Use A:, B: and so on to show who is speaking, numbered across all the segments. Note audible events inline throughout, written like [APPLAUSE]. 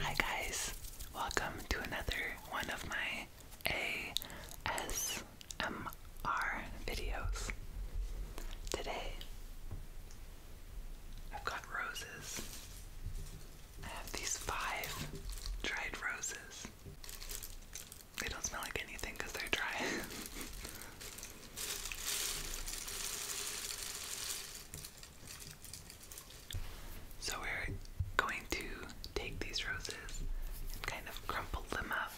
A: Hi guys, welcome to another one of my ASMR videos. Today, I've got roses. I have these five dried roses. They don't smell like anything because they're dry. [LAUGHS] So we're going to take these roses and kind of crumple them up.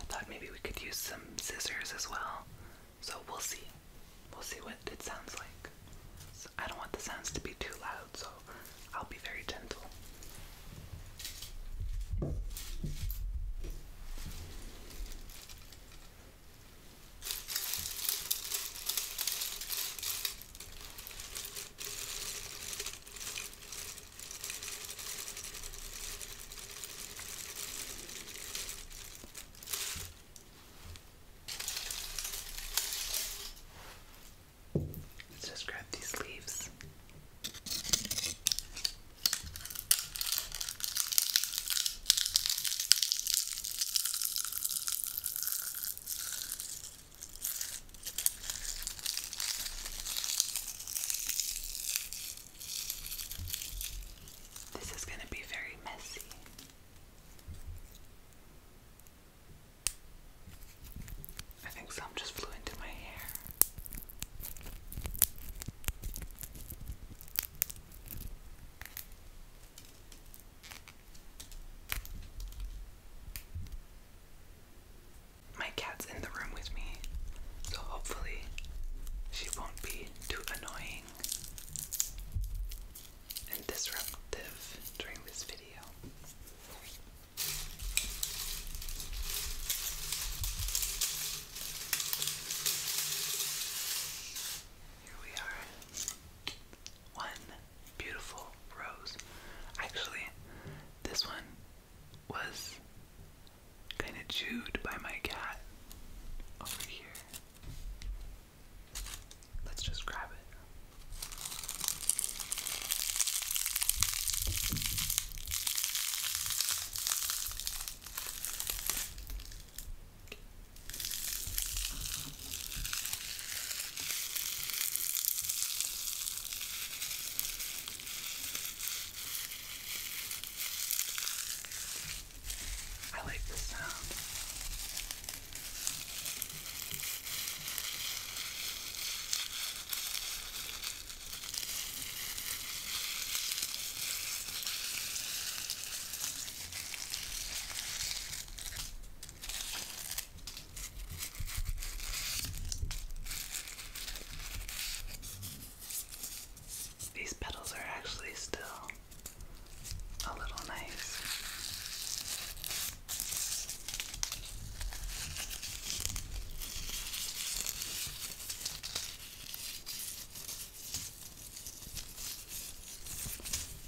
A: I thought maybe we could use some scissors as well. So we'll see. We'll see what it sounds like. I don't want the sounds to be too loud, so I'll be very gentle. Let's just grab these leaves. This is going to be very messy. I think some just flew into my hair. My cat's in the room with me, so hopefully she won't be too annoying and disruptive during this video. Here we are. One beautiful rose. Actually, this one was kind of chewed by my cat over here. Let's just grab it. I like the sound. These petals are actually still a little nice.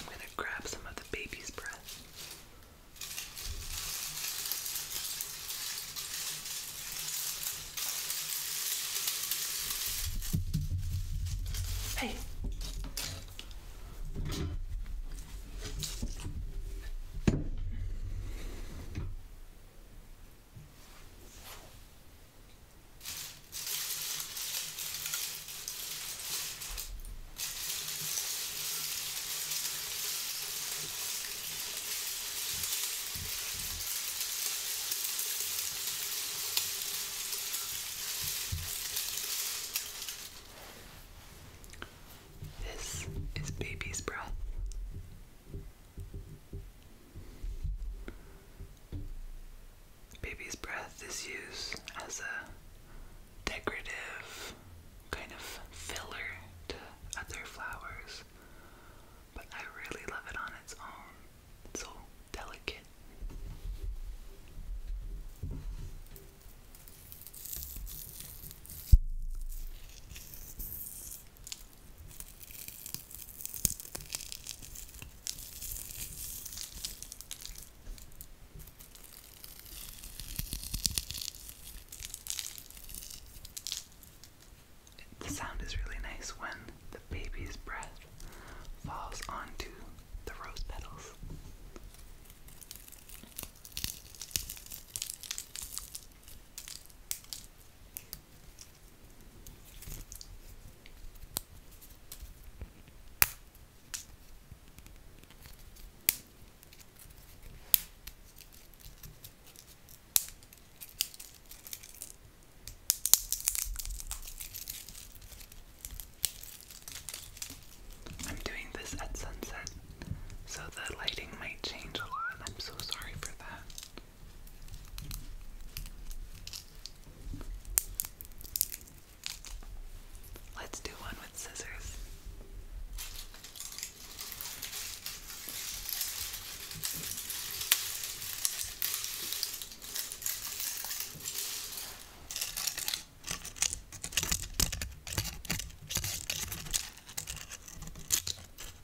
A: I'm going to grab some of the baby's breath. Hey. This is baby's breath. Baby's breath is used as a decorative kind of filler to other flowers, but I really love it on its own. It's so delicate. The sound is really nice when the baby's breath falls onto the rose petals. I'm doing this at sunset, so the lighting might change a lot. I'm so sorry for that. Let's do one with scissors.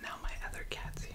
A: Now, my other cat's here.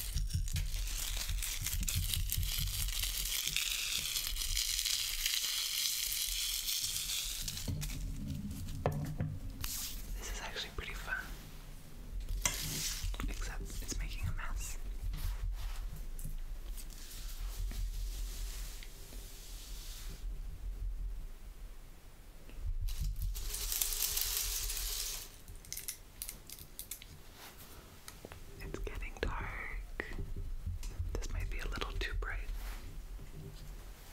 A: This is actually pretty fun, except it's making a mess. It's getting dark. This might be a little too bright.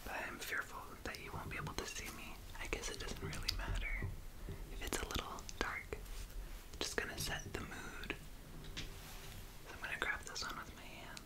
A: But I'm fearful that you won't be able to see me. I guess it doesn't really matter if it's a little dark. just gonna set the mood. I'm gonna grab this one with my hand.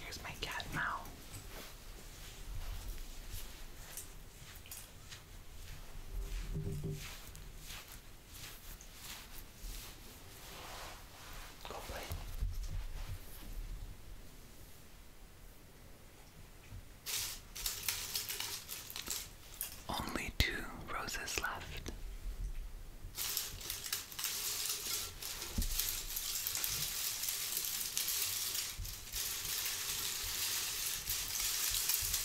A: Here's my cat now. Go play. Only two roses left.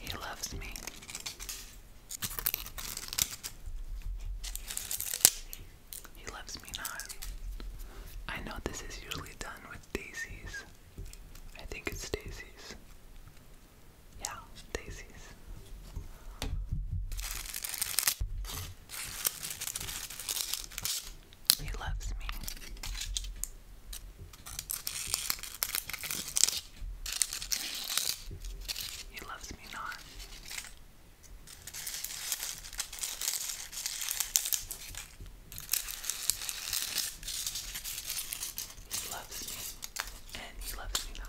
A: He loves me. He loves me not. I know this is usually done with daisies. I think it's daisies. Yeah, daisies. He loves me. He loves me not. He loves me, and he loves me not.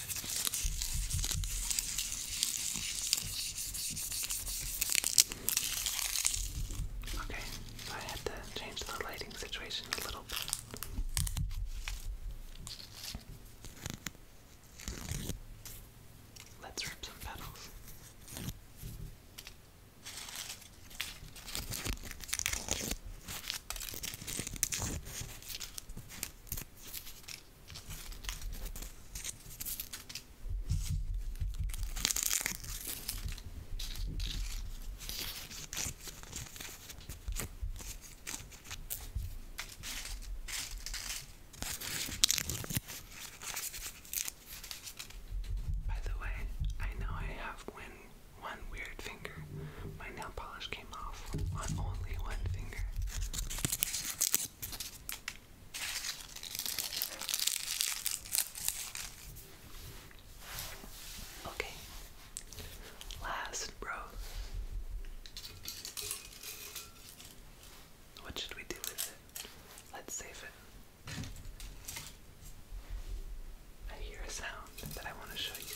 A: Okay, so I had to change the lighting situation a little bit. Let's rip some petals. By the way, I know I have one one weird finger. My nail polish came off on only one finger. Okay. Last row. What should we do with it? Let's save it. I hear a sound that I want to show you.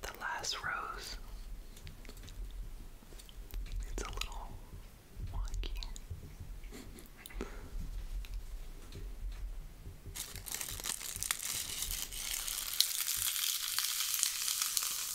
A: The last rose, it's a little wonky.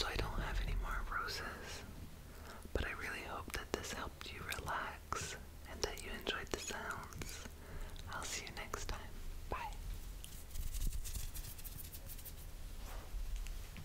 A: So, I don't have any more roses, but I really hope that this helped you relax and that you enjoyed the sounds. I'll see you next time. Bye.